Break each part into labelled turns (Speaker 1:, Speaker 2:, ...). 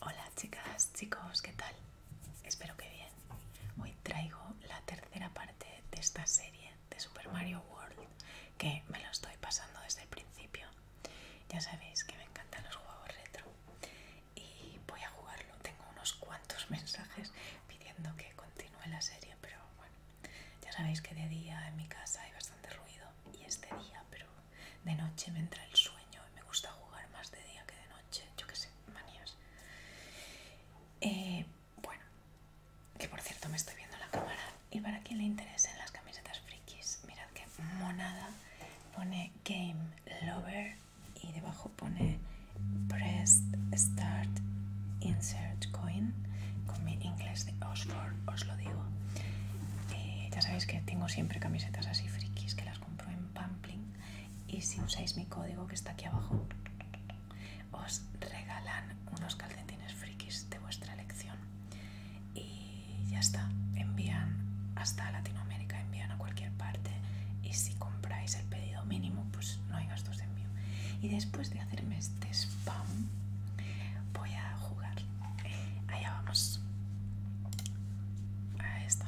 Speaker 1: Hola chicas, chicos, ¿qué tal? Espero que bien. Hoy traigo la tercera parte de esta serie de Super Mario World que me lo estoy pasando desde el principio. Ya sabéis que me encantan los juegos retro y voy a jugarlo. Tengo unos cuantos mensajes pidiendo que continúe la serie, pero bueno, ya sabéis que de día en mi casa hay bastante ruido y este día, pero de noche me entra el sueño y me gusta jugar más de día que de noche, yo qué sé, manías. Eh, bueno, que por cierto me estoy viendo la cámara y para quien le interesen las camisetas frikis, mirad que monada pone Game Lover y debajo pone Press Start Insert Coin con mi inglés de Oxford, os lo digo. Eh, ya sabéis que tengo siempre camisetas así frikis que las compro en Pampling y si usáis mi código que está aquí abajo os regalan unos calcetines frikis de vuestra elección y ya está, envían hasta Latinoamérica, envían a cualquier parte y si compráis el pedido mínimo pues no hay gastos de envío y después de hacerme este spam voy a jugar allá vamos ahí está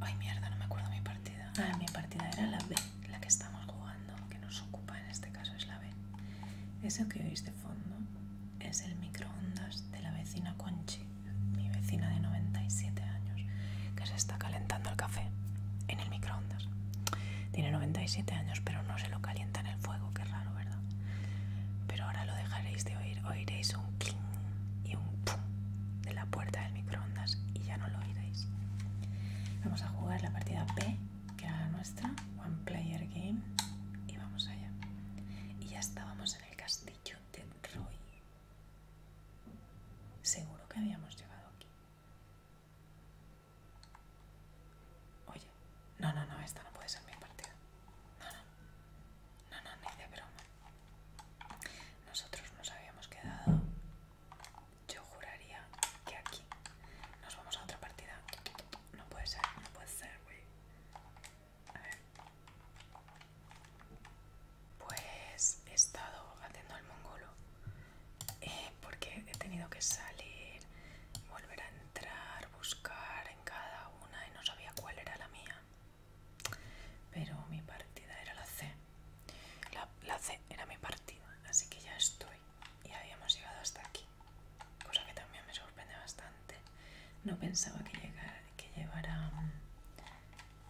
Speaker 1: ay mierda no me acuerdo mi partida ah mi partida era la B la que estamos jugando que nos ocupa en este caso es la B eso que oís de fondo es el microondas de la vecina Conchi mi vecina de 97 años que se está calentando el café en el microondas tiene 97 años pero no se lo calienta en el fuego que raro pero ahora lo dejaréis de oír, oiréis un cling y un pum de la puerta del microondas y ya no lo oiréis. Vamos a jugar la partida P, que era nuestra, One Player Game, y vamos allá. Y ya estábamos en el castillo de Roy. Seguro que habíamos llegado aquí. Oye, no, no, no, esta no puede ser mi partida. No, no, no, no, ni de broma. Nosotros nos habíamos quedado. Yo juraría que aquí nos vamos a otra partida. No puede ser, no puede ser, güey. A ver. Pues he estado haciendo el mongolo eh, porque he tenido que salir, volver a entrar, buscar en cada una y no sabía cuál era la mía. Pero mi partida era la C. La, C era mi partida, así que ya estoy. Y habíamos llegado hasta aquí. Cosa que también me sorprende bastante. No pensaba que, llegar, que llevara mm,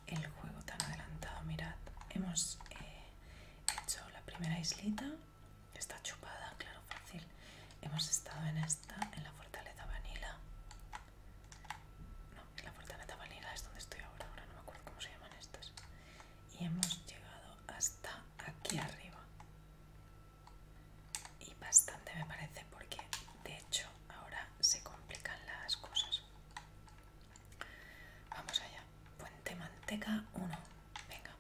Speaker 1: el juego tan adelantado. Mirad, hemos eh, hecho la primera islita Está chupada, claro, fácil. Hemos estado en esta, en la fortaleza vanila. No, en la fortaleza vanila es donde estoy ahora, ahora no me acuerdo cómo se llaman estas. Y hemos llegado hasta aquí arriba. Y bastante me parece porque de hecho ahora se complican las cosas. Vamos allá. Puente manteca 1. Venga.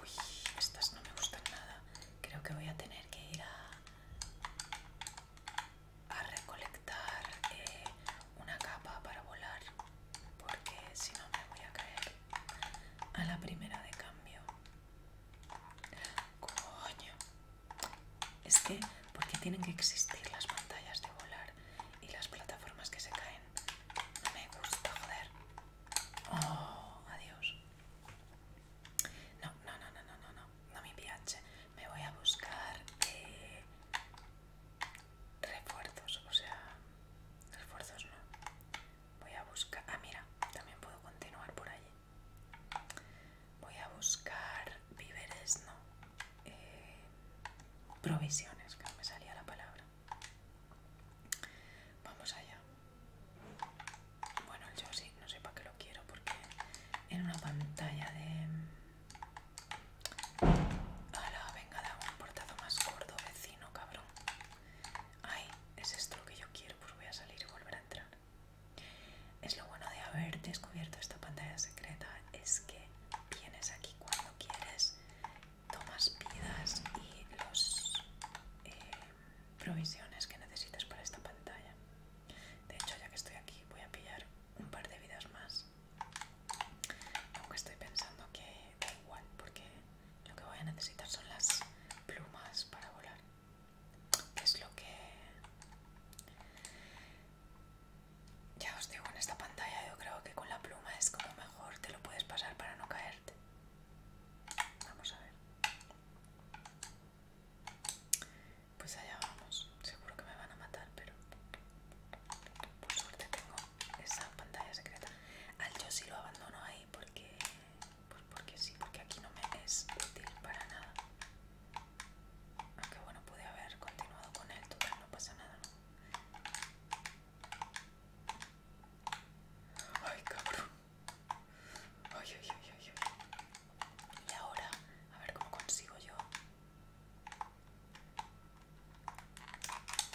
Speaker 1: Uy, estas no me gustan nada. Creo que voy a tener que ir a, recolectar eh, una capa para volar, porque si no me voy a caer a la primera de cambio. Coño. Es que, ¿por qué tienen que existir las pantallas de volar y las plataformas que se caen? No me gusta, joder. Oh, adiós. No, no, no, no, no, no, no, no mi pH. Me voy a buscar eh, refuerzos, o sea, refuerzos no. Voy a buscar... Ah, mira, también puedo continuar por allí. Voy a buscar víveres, no. Eh, provisiones, que no me salía la palabra. Vamos allá. Bueno, yo sí, no sé para qué lo quiero porque en una pantalla de... ¡Hala! Venga, dame un portado más gordo, vecino, cabrón. Ay, es esto lo que yo quiero, pues voy a salir y volver a entrar. Es lo bueno de haber descubierto esta pantalla secreta, es que vienes aquí cuando quieres tomas vidas y los eh, provisiones que necesitas para esta pantalla. De hecho, ya que estoy aquí, voy a pillar un par de vidas más. Aunque estoy pensando que da igual, porque lo que voy a necesitar son las plumas para volar. Es lo que... Ya os digo, en esta pantalla yo creo que con la pluma es como mejor te lo puedes pasar para no caerte. Vamos a ver. Pues allá vamos. Seguro que me van a matar, pero por suerte tengo esa pantalla secreta. Al yo sí lo abandono ahí porque, pues porque sí, porque aquí no me es útil para nada. Aunque bueno, pude haber continuado con él, total, no pasa nada, Ay, cabrón. Ay, ay, ay, ay, Y ahora, a ver cómo consigo yo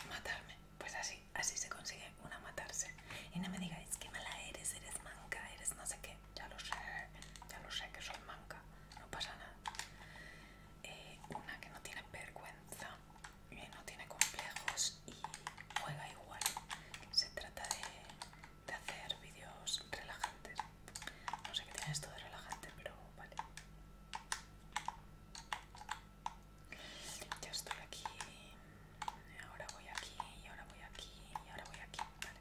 Speaker 1: matarme. Pues así, así se consigue una matarse. Y no me digáis que mala eres, eres manca, eres no sé qué. Ya lo sé, ya lo sé que soy manca. No pasa nada. Eh, una que no tiene vergüenza no tiene complejos y juega igual. Se trata de, hacer vídeos relajantes. No sé qué tiene esto de relajante, pero vale. Ya estoy aquí, ahora voy aquí, y ahora voy aquí, y ahora voy aquí, vale.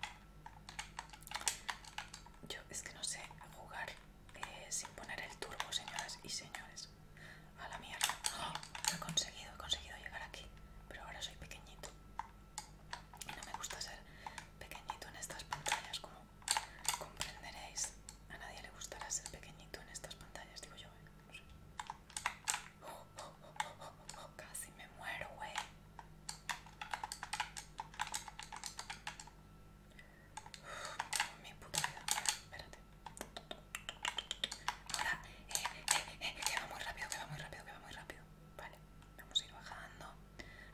Speaker 1: Yo es que no sé jugar eh, sin poner el turbo, señoras y señores. A la mierda. he conseguido, he conseguido llegar aquí. Pero ahora soy pequeñito. Y no me gusta ser pequeñito en estas pantallas, como comprenderéis. A nadie le gustará ser pequeñito en estas pantallas, digo yo. ¿eh? No sé. casi me muero, wey. Mi puta vida. Espérate. Ahora, eh, eh, eh, eh, que va muy rápido, que va muy rápido, que va muy rápido. Vale, vamos a ir bajando,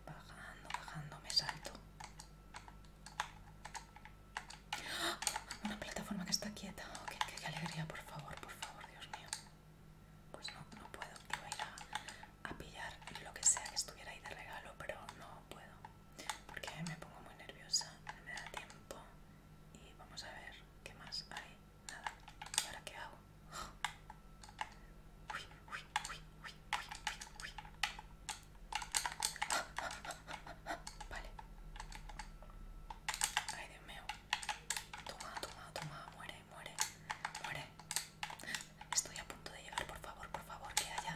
Speaker 1: bajando, bajando, me salto. Una plataforma que está quieta. Oh, que qué, alegría, por favor, por favor, Dios mío! Pues no, no puedo. voy a ir a pillar lo que sea que estuviera ahí de regalo, pero no puedo porque me pongo muy nerviosa, no me da tiempo y vamos a ver qué más hay. Nada. ¿Y ahora qué hago? Uy, uy, uy, uy, uy, uy, uy. Vale. Ay, Dios mío. Toma, toma, toma. Muere, muere, muere. Estoy a punto de llegar, por favor, por favor, que haya,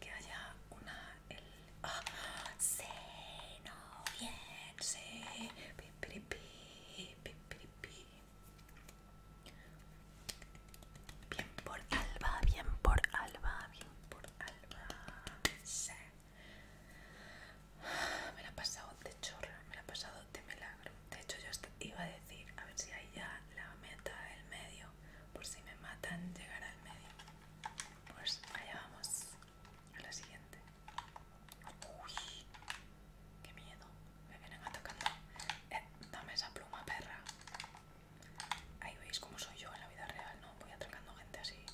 Speaker 1: que haya una el bien por Alba bien por Alba bien por Alba me la ha pasado de chorro me la ha pasado de milagro de hecho yo iba a decir a ver si hay ya la meta del medio por si me matan llegar al medio pues allá vamos a la siguiente. Uy, qué miedo. Me vienen atacando. Eh, dame esa pluma, perra. Ahí veis cómo soy yo en la vida real, ¿no? Voy atacando gente así.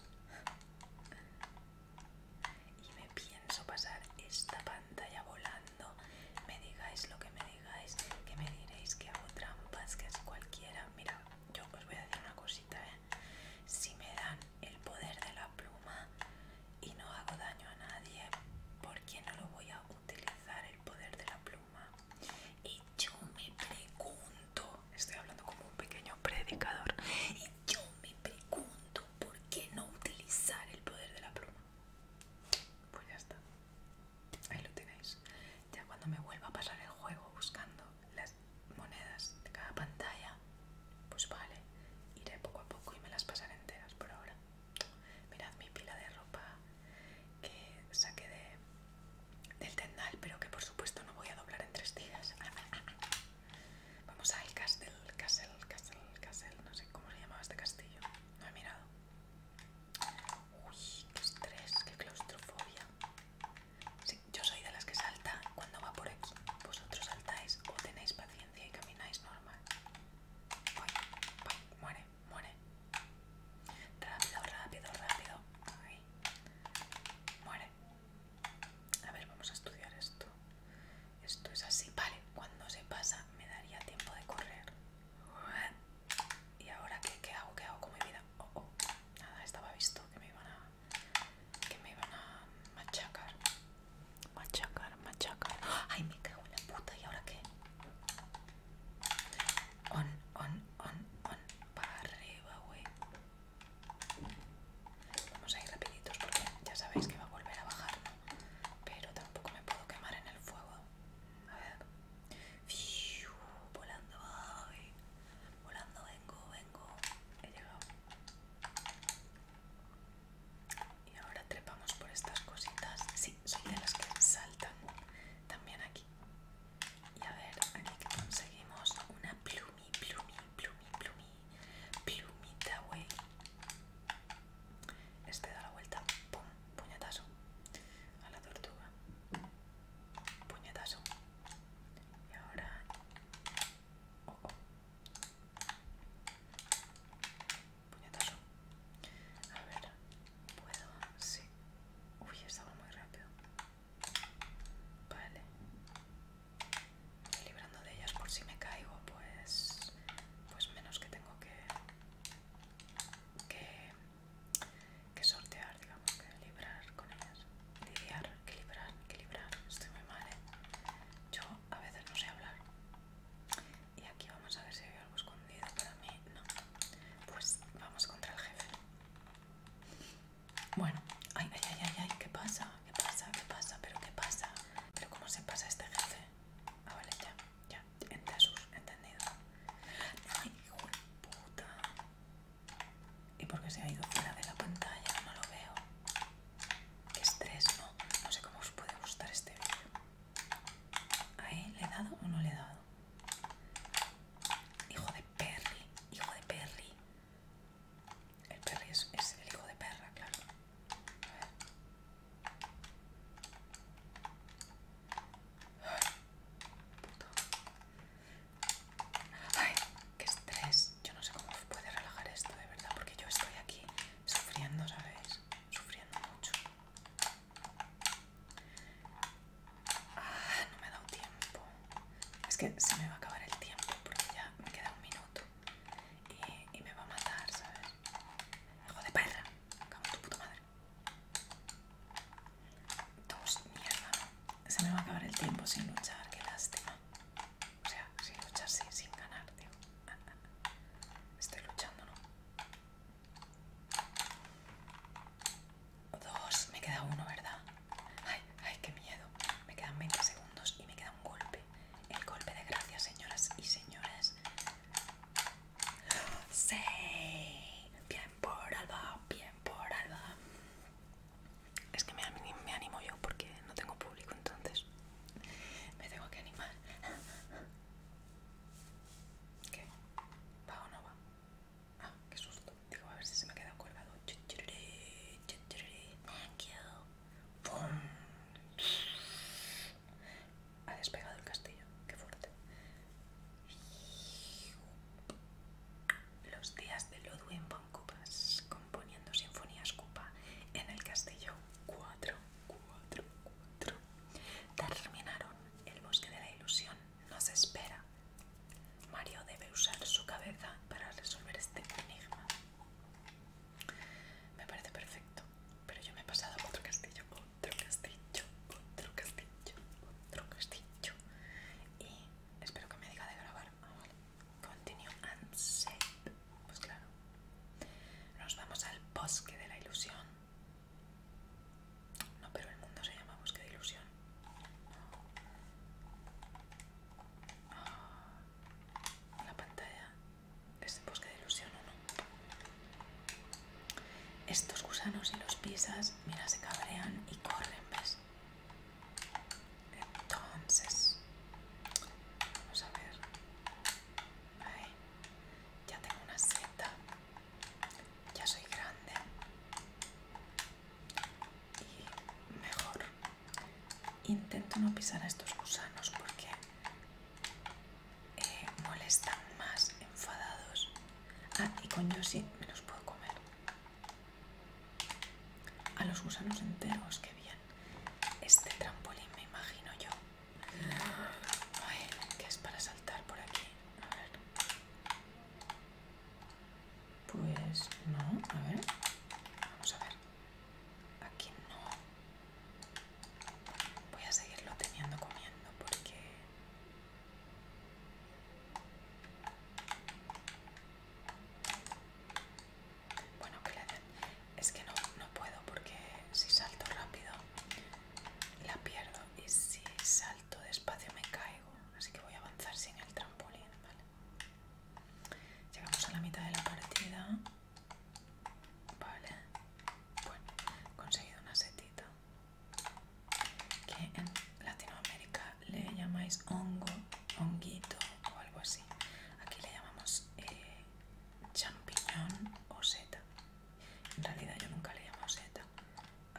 Speaker 1: Y me pienso pasar esta pantalla volando. Me digáis lo que me digáis, que me diréis que hago trampas, que es cualquiera. Mira, yo os voy a decir una cosita, ¿eh? si me dan el poder de la pluma y no hago daño a nadie, ¿por qué no lo voy a utilizar el poder de la pluma? Y yo me pregunto, estoy hablando como un pequeño predicador, y yo me pregunto por qué no utilizar el poder de la pluma. Pues ya está, ahí lo tenéis. Ya cuando me vuelva a pasar el juego buscando las monedas de cada pantalla, pues vale, iré poco a poco y me las pasaré enteras por ahora. Mirad mi pila de ropa que saqué de, del tendal, pero que por supuesto no voy a doblar en tres días. Vamos al castel, castel, castel, castel, no sé cómo se llamaba este castillo, no he mirado. Uy, qué estrés, qué claustrofobia. Sí, yo soy de las que salta cuando va por Vosotros saltáis o tenéis paciencia y camináis normal. muere, muere. Rápido, rápido, rápido. Muere. A ver, vamos a estudiar esto. Esto es así. Vale, cuando se pasa me daría tiempo de correr. ¿Y ahora qué hago? ¿Qué hago con mi vida? oh, oh, nada, estaba visto que me iban a que me iban a machacar machacar, machacar ay me cago en la puta, ¿y ahora qué? on, on, on, on para arriba, güey vamos a ir rapiditos porque ya sabéis que va a volver a bajar ¿no? pero tampoco me puedo quemar en el fuego a ver volando volando vengo, vengo, he llegado. Y ahora trepamos por estas cositas. Sí, son de las que saltan también aquí. Y a ver, aquí conseguimos una plumi, plumi, plumi, plumi, plumita, güey Este da la vuelta, puñetazo a la tortuga. Puñetazo, y ahora... Oh, oh, Puñetazo. A ver, ¿puedo? Sí. Uy, estaba muy rápido. Vale. librando de ellas por si me caigo, pues... Pues menos que tengo que... Que que sortear, digamos, que librar con ellas. Lidiar, equilibrar, equilibrar. Estoy muy mal, ¿eh? Yo a veces no sé hablar. Y aquí vamos a ver si hay algo escondido para mí. No. Pues vamos contra el jefe. Bueno. Ay, ay, ay, ay, ay. ¿Qué pasa? ¿Qué pasa? ¿Qué pasa? ¿Pero qué pasa? ¿Pero cómo se pasa este jefe? Ah, vale, ya. Ya. Entendido. Ay, hijo de puta. ¿Y por qué se ha ido fuera de la pantalla? No lo veo. Qué estrés, ¿no? No sé cómo os puede gustar este vídeo. ¿Ahí le he dado o no le he dado? Hijo de perri! hijo de perri! El perri es, el hijo de perra, claro. A ver. Puto. Ay, qué estrés. Yo no sé cómo puede relajar esto, de verdad, porque yo estoy aquí sufriendo, ¿sabes? Sufriendo mucho. Ah, no me ha dado tiempo. Es que se me va a acabar el tiempo porque ya me queda un minuto y, me va a matar, ¿sabes? Hijo de perra, cago en tu puta madre. Dos, mierda, Se me va a acabar el tiempo sin luchar, qué lástima. O sea, sin luchar, sí, sin ganar, tío. Estoy luchando, ¿no? Dos, me queda uno, ¿verdad? Ay, ay, qué miedo. Me quedan 20 segundos y me queda un golpe. El golpe de gracia, señoras y señores por Alba, bien por Alba. Es que me, animo yo porque no tengo público, entonces me tengo que animar. ¿Qué? ¿Va o no va? Ah, qué susto. Digo, a ver si se me ha quedado colgado. Thank you. Ha despegado el castillo. Qué fuerte. Los días de Ludwig von componiendo sinfonías Cupa en el castillo 4, 4, 4. Terminaron. El bosque de la ilusión nos espera. Mario debe usar su cabeza para resolver este enigma. Me parece perfecto, pero yo me he pasado a otro castillo, otro castillo, otro castillo, otro castillo y espero que me diga de grabar. Ah, Continue and save. Pues claro. Nos vamos al bosque de la ilusión. No, pero el mundo se llama bosque de ilusión. Ah, la pantalla es bosque de ilusión o no. Estos gusanos si los pisas, mira, se cabrean y corren, ¿ves? Entonces, vamos a ver. Ahí. Ya tengo una seta. Ya soy grande. Y mejor. Intento no pisar a estos gusanos porque eh, molestan más enfadados. Ah, y con sí, me los puedo comer. A los gusanos enteros, qué bien. Este trampolín me imagino yo. ver, que es para saltar por aquí. A ver. Pues no, a ver. Vamos a ver. Aquí no. Voy a seguirlo teniendo comiendo porque bueno, Es que no, no puedo porque si salto rápido la pierdo y si salto despacio me caigo. Así que voy a avanzar sin el trampolín, Llegamos a la mitad de la partida. Vale. Bueno, he conseguido una setita que en Latinoamérica le llamáis hongo, honguito o algo así. Aquí le llamamos eh, champiñón o seta. En realidad yo nunca le llamo seta.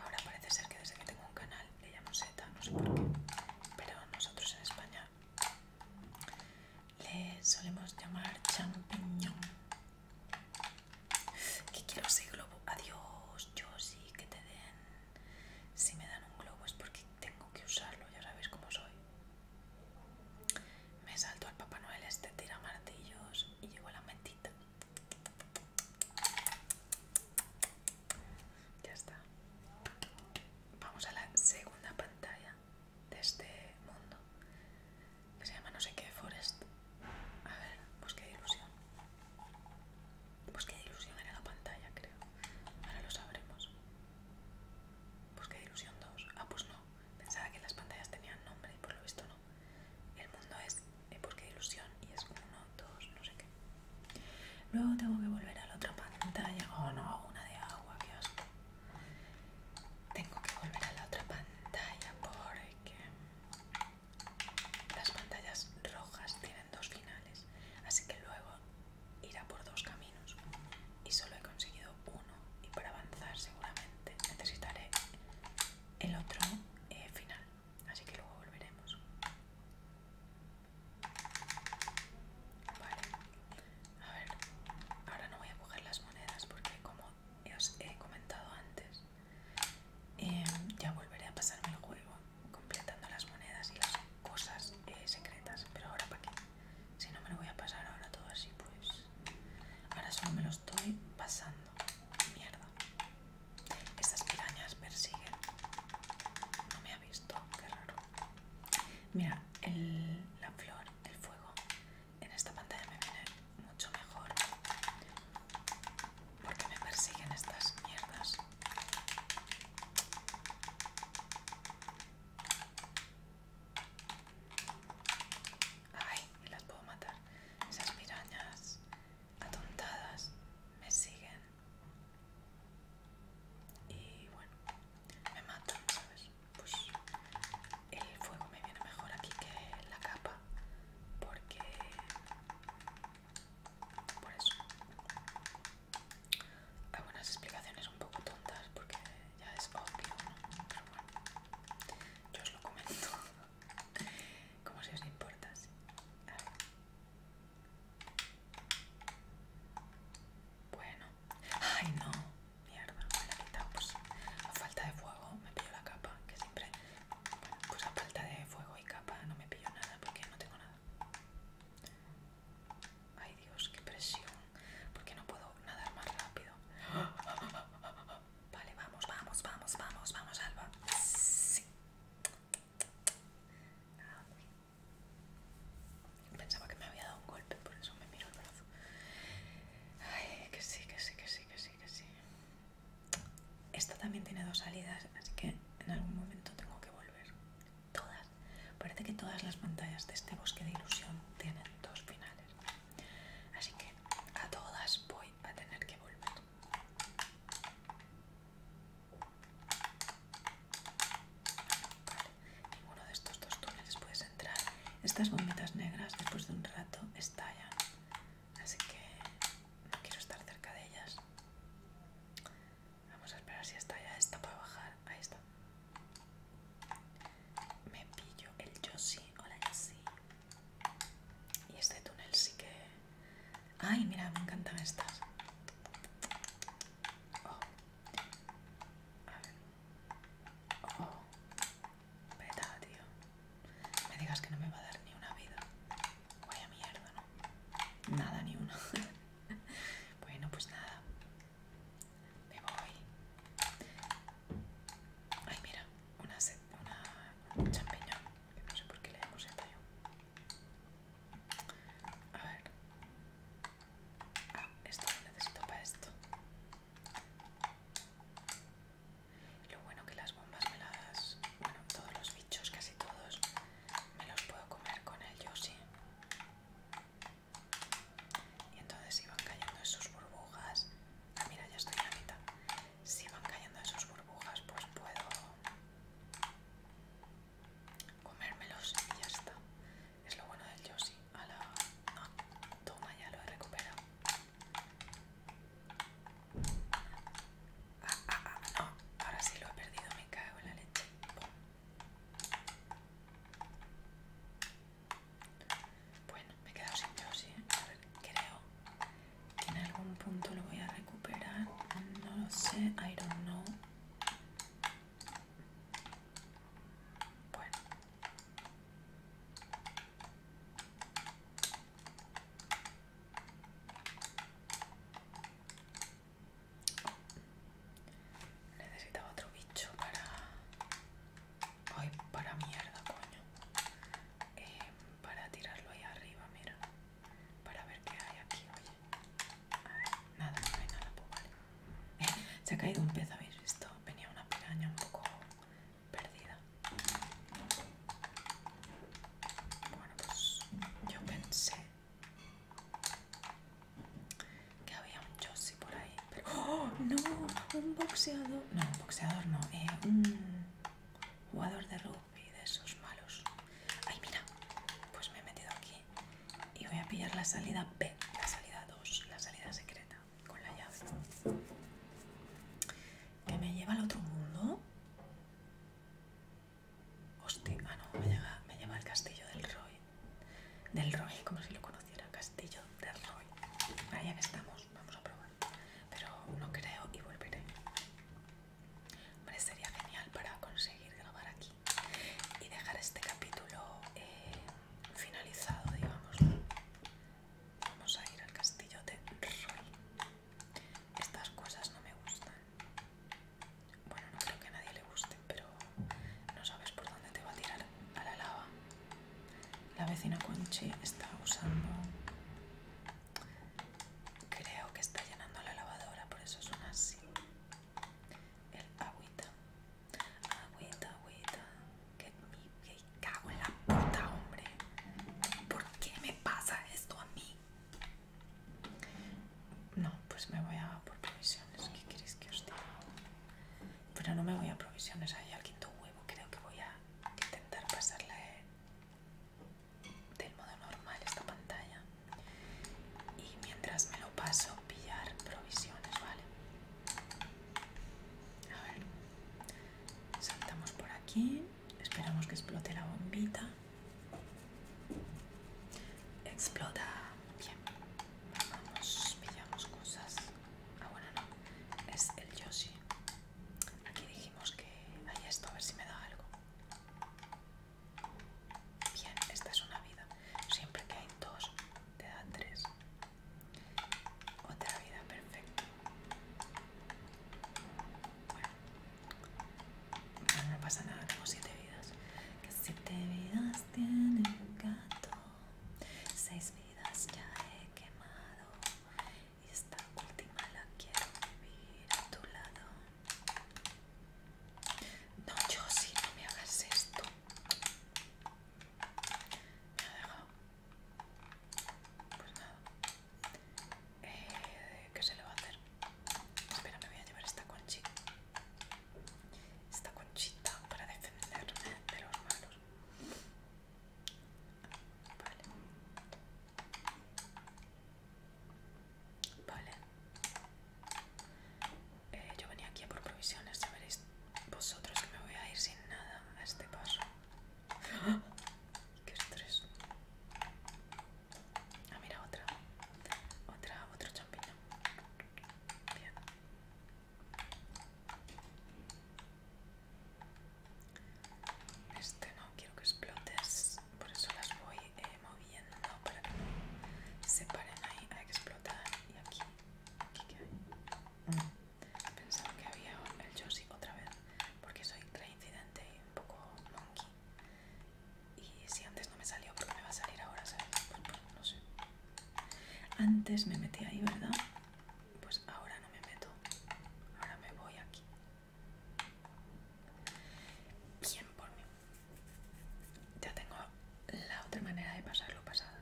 Speaker 1: Ahora parece ser que desde que tengo un canal le llamo seta, no sé por qué. Pero nosotros en España le solemos llamar champiñón. Que quiero ese globo. Adiós, yo sí que te den. Si me dan un globo es porque tengo que usarlo, ya sabéis cómo soy. Me salto al Papá Noel este tira martillos y llevo la mentita. Ya está. Vamos a la segunda pantalla de este mundo. Que se llama no sé qué Forest. A ver, pues ilusión. Pues ilusión era la pantalla, creo. Ahora lo sabremos. Pues ilusión 2. Ah, pues no. Pensaba que las pantallas tenían nombre y por lo visto no. El mundo es eh, Pues ilusión y es uno, dos, no sé qué. Luego tengo que volver a la otra pantalla. Oh no, una de agua, qué Tengo que volver a la otra pantalla porque... Las pantallas rojas tienen dos finales, así que luego irá por dos caminos. Y solo he conseguido uno y para avanzar seguramente necesitaré el otro eh, final, así que luego volveremos. Vale, a ver, ahora no voy a coger las monedas porque como os he comentado antes, Em, ya volveré a pasarme el juego completando las monedas y las cosas eh, secretas, pero ahora para qué. Si no me lo voy a pasar ahora todo así, pues. Ahora solo me lo estoy pasando. Mierda. Estas pirañas persiguen. No me ha visto, qué raro. Mira, la flor, el fuego. En esta pantalla me viene mucho mejor porque me persiguen estas mierdas? Ay, las puedo matar. Esas mirañas atontadas me siguen. Y bueno, me mato, ¿sabes? Pues el fuego me viene mejor aquí que la capa. Porque por eso algunas explicaciones un poco tontas porque ya es obvio ¿no? pero bueno yo os lo comento como si os importa bueno ay no mierda me la he quitado pues, a falta de fuego me pillo la capa que siempre pues a falta de fuego y capa no me pillo nada porque no tengo nada. Ay Dios, qué presión. Porque no puedo nadar más rápido. Vale, vamos, vamos, vamos, vamos, vamos, Alba. Sí. Ah, pensaba que me había dado un golpe, por eso me miro el brazo. Ay, que sí, que sí, que sí, que sí, que sí. Esta también tiene dos salidas, así que en algún momento tengo que volver. Todas. Parece que todas las pantallas de este bosque de ilusión tienen dos finales. Así que a todas voy a tener que volver. ninguno de estos dos túneles puedes entrar. Estas bombitas negras después de un rato estallan así que no quiero estar cerca de ellas. Vamos a esperar si está ya. está para bajar. Ahí está. Me pillo el Yoshi. Hola Yoshi. Y este túnel sí que... Ay, mira, me encantan estas. Oh. A oh. tío. Me digas que no me va a dar ni una vida. Vaya mierda, ¿no? Nada, ni una. bueno, pues nada. Me voy. Ay, mira, una, una, champiñón. no sé por qué le hemos hecho yo. A ver. Ah, esto lo necesito para esto. Lo bueno que las bombas meladas Bueno, todos los bichos, casi todos, me los puedo comer con el Yoshi. Y entonces iban cayendo esas burbujas. Ah, mira, ya estoy en la mitad. Si van cayendo esas burbujas, pues puedo comérmelos y ya está. Es lo bueno del Yoshi. A la... toma, ya lo he recuperado. Ah, ah, ah, no, ahora sí lo he perdido, me cago en la leche. Bueno, me he quedado sin Yoshi, a ver, creo que en algún punto lo voy a recuperar, no lo sé, I don't know. Bueno. Necesitaba otro bicho para... Ay, para mierda, coño. Em, para tirarlo ahí arriba, mira. Para ver qué hay aquí, oye. nada, no hay nada, pues se ha caído un pez, ¿habéis visto? Venía una piraña un poco perdida. Bueno, pues yo pensé que había un Josie por ahí, pero ¡Oh, no! Un boxeador. No, un boxeador no, eh, un jugador de rugby de esos malos. ¡Ay, mira! Pues me he metido aquí y voy a pillar la salida B, la salida 2, la salida secreta, con la llave que me lleva al otro mundo. Hostia, ah, no, me lleva, al castillo del Roy. Del Roy, como si lo conociera, castillo del Roy. Ahí estamos, vamos a probar. Pero no creo y volveré. Hombre, sería genial para conseguir grabar aquí y dejar este capítulo eh, finalizado, digamos. Vamos a ir al castillo de Roy. Estas cosas no me gustan. Bueno, no creo que a nadie le guste, pero no sabes por dónde te va a tirar a la lava. La vecina Conchi está usando... Creo que está llenando la lavadora, por eso suena así. El agüita. Agüita, agüita. Que me cago en la puta, hombre. ¿Por qué me pasa esto a mí? No, pues me voy a por provisiones. ¿Qué queréis que os diga? Pero no me voy a provisiones ahí al quinto huevo. Creo que voy a intentar pasarle del modo normal esta pantalla. Y mientras me lo paso, pillar provisiones, ¿vale? A ver, saltamos por aquí. Esperamos que explote la bombita. Explota. Bien. Vamos, pillamos cosas. Ah, bueno, no. Es el Yoshi. Aquí dijimos que hay esto, a ver si me da algo. Bien, esta es una vida. Siempre que hay dos, te da tres. Otra vida, perfecto. Bueno, no pasa nada, tengo siete vidas. Que siete vidas tiene el gato. Seis vidas ya he quemado. Y esta última la quiero vivir a tu lado. No, yo sí, no me hagas esto. Me ha pues nada. Eh, ¿Qué se le va a hacer? Espera, me voy a llevar esta conchita. Esta conchita para defenderme de los malos. Vale. Vale. Eh, yo venía aquí a por provisiones, ya veréis vosotros que me voy a ir sin nada a este paso. Qué estrés. Ah, mira, otra. Otra, otra champiñón. Bien. Este no quiero que explotes, por eso las voy eh, moviendo para que se paren ahí. a explotar. Y aquí, aquí que hay. Pensaba que había el Josie otra vez, porque soy reincidente y un poco monkey. Y si antes no me salió, ¿por me va a salir ahora? Pues, pues, pues, no sé. Antes me metí ahí, ¿verdad? Pues ahora no me meto. Ahora me voy aquí. ¿Quién por mí. Ya tengo la otra manera de pasar lo pasado.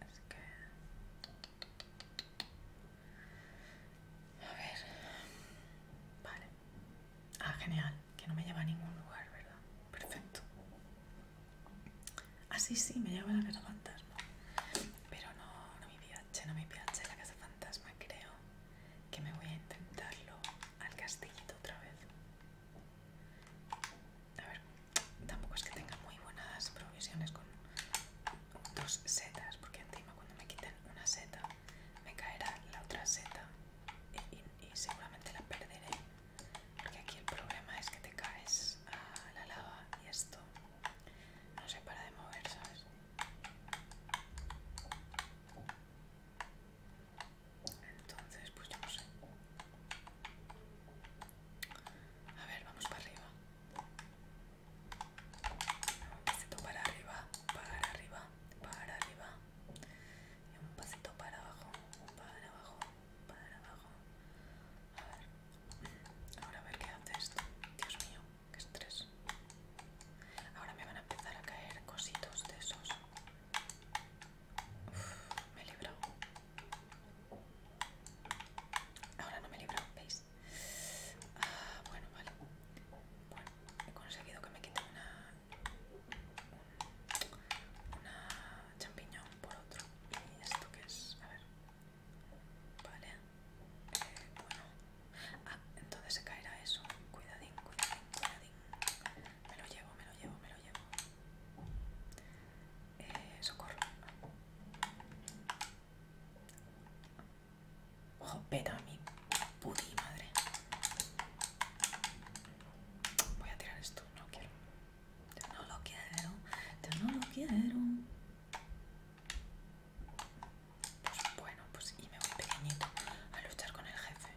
Speaker 1: Es que... A ver. Vale. Ah, genial. Que no me lleva a ningún lugar, ¿verdad? Perfecto. Ah, sí, sí, me lleva a la casa fantasma. Pero no, no me piace, no me piace la casa fantasma, creo. Que me voy a intentarlo al castillito otra vez. A ver, tampoco es que tenga muy buenas provisiones con dos setas, porque encima cuando me quiten una seta me caerá la otra seta y, seguramente la perderé, porque aquí el problema es que te caes a la lava y esto no se para de mover, ¿sabes? Entonces, pues yo no sé. A ver, vamos para arriba. Un pasito para arriba, para arriba, para arriba, y un pasito para abajo, un para abajo, para abajo. A ver, ahora a ver qué hace esto. Dios mío, qué estrés. Ahora me van a empezar a caer cositos de esos. me he librado. Ahora no me he librado, ¿veis? Ah, bueno, vale. Bueno, he conseguido que me quite una, una champiñón por otro. ¿Y esto qué es? A ver. Vale. Eh, bueno. Ah, entonces se caerá eso. Cuidadín, cuidadín, cuidadín. Me lo llevo, me lo llevo, me lo llevo. Eh, socorro. Ojo, Jopeta, mi puti madre. Voy a tirar esto, no quiero. Yo no lo quiero, yo no lo quiero. Pues bueno, pues y me voy pequeñito a luchar con el jefe.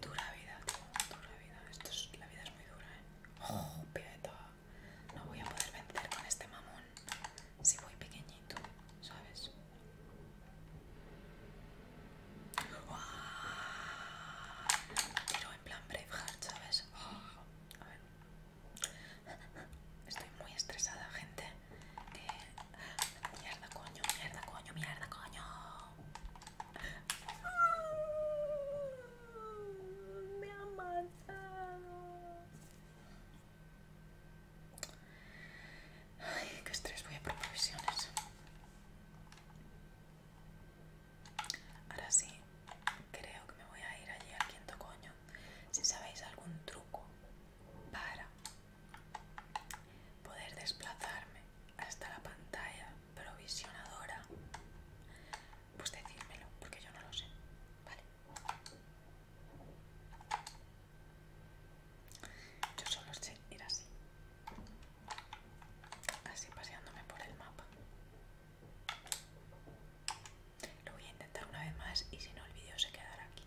Speaker 1: Dura vida, tío, dura vida. Esto es, la vida es muy dura, eh. peta! no voy a poder vencer con este mamón si voy pequeñito, ¿sabes? Quiero en plan Braveheart, ¿sabes? Oh, Estoy muy estresada, gente. mierda, coño, mierda, coño, mierda, coño. Me ha matado. Ay, qué estrés, voy a provisiones. Ahora sí, creo que me voy a ir allí al quinto coño. Si sabéis algún truco para poder desplazarme hasta la pantalla provisionadora, pues decídmelo, porque yo no lo sé. Vale. Yo solo sé ir así. Así paseándome por el mapa. Lo voy a intentar una vez más y si no el vídeo se quedará aquí.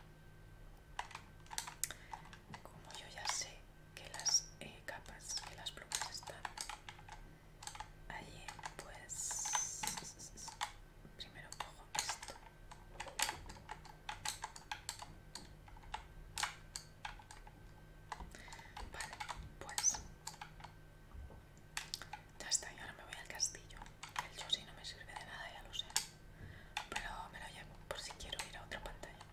Speaker 1: Como yo ya sé que las eh, capas, que las plumas están allí, pues Primero cojo esto. Vale, pues ya está, y ahora me voy al castillo. El chosí no me sirve de nada, ya lo sé. Pero me lo llevo por si quiero ir a otra pantalla.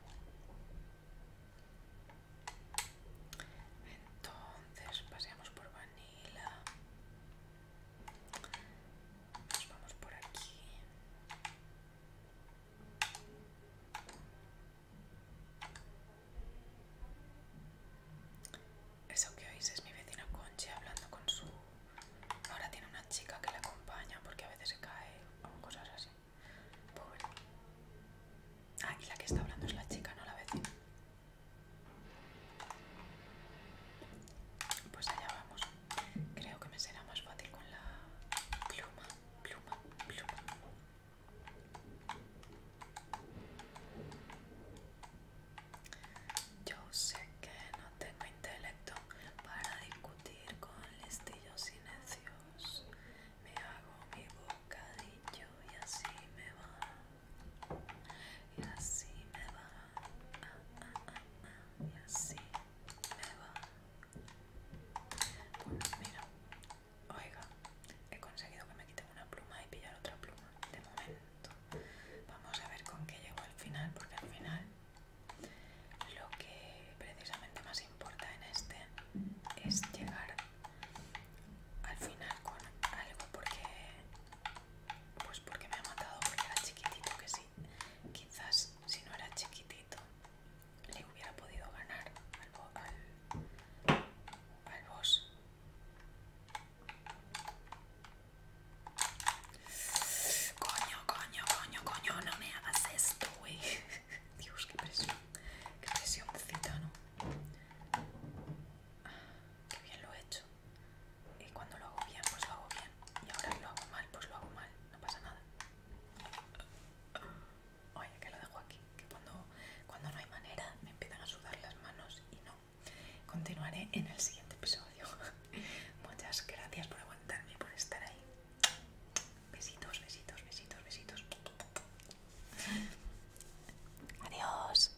Speaker 1: Entonces paseamos por Vanilla. Nos vamos por aquí. Eso que oís es mi vecina Conchi hablando con su... Ahora tiene una chica que le acompaña porque a veces se cae o cosas así. Pobre. Ah, y la que está hablando es la chica, no la vecina. Pues allá vamos. Creo que me será más fácil con la pluma, pluma, pluma. Yo sé que no tengo intelecto para discutir con listillos necios. Me hago mi bocadillo y así me va y así me va y así me va bueno mira oiga he conseguido que me quiten una pluma y pillar otra pluma de momento vamos a ver con qué llego al final porque al final lo que precisamente más importa en este es llegar al final con algo porque pues porque me ha matado, porque era chiquitito, que sí. Quizás si no era chiquitito le hubiera podido ganar al, boss. Coño, coño, coño, coño, no me hagas esto, güey. Dios, qué presión. Qué presión, ¿no? Ah, qué bien lo he hecho. Y cuando lo hago bien pues lo hago bien y ahora lo hago mal pues lo hago mal no pasa nada oye que lo dejo aquí que cuando, cuando no hay manera me empiezan a sudar las manos y no continuaré en el siguiente episodio muchas gracias por aguantarme por estar ahí besitos besitos besitos besitos adiós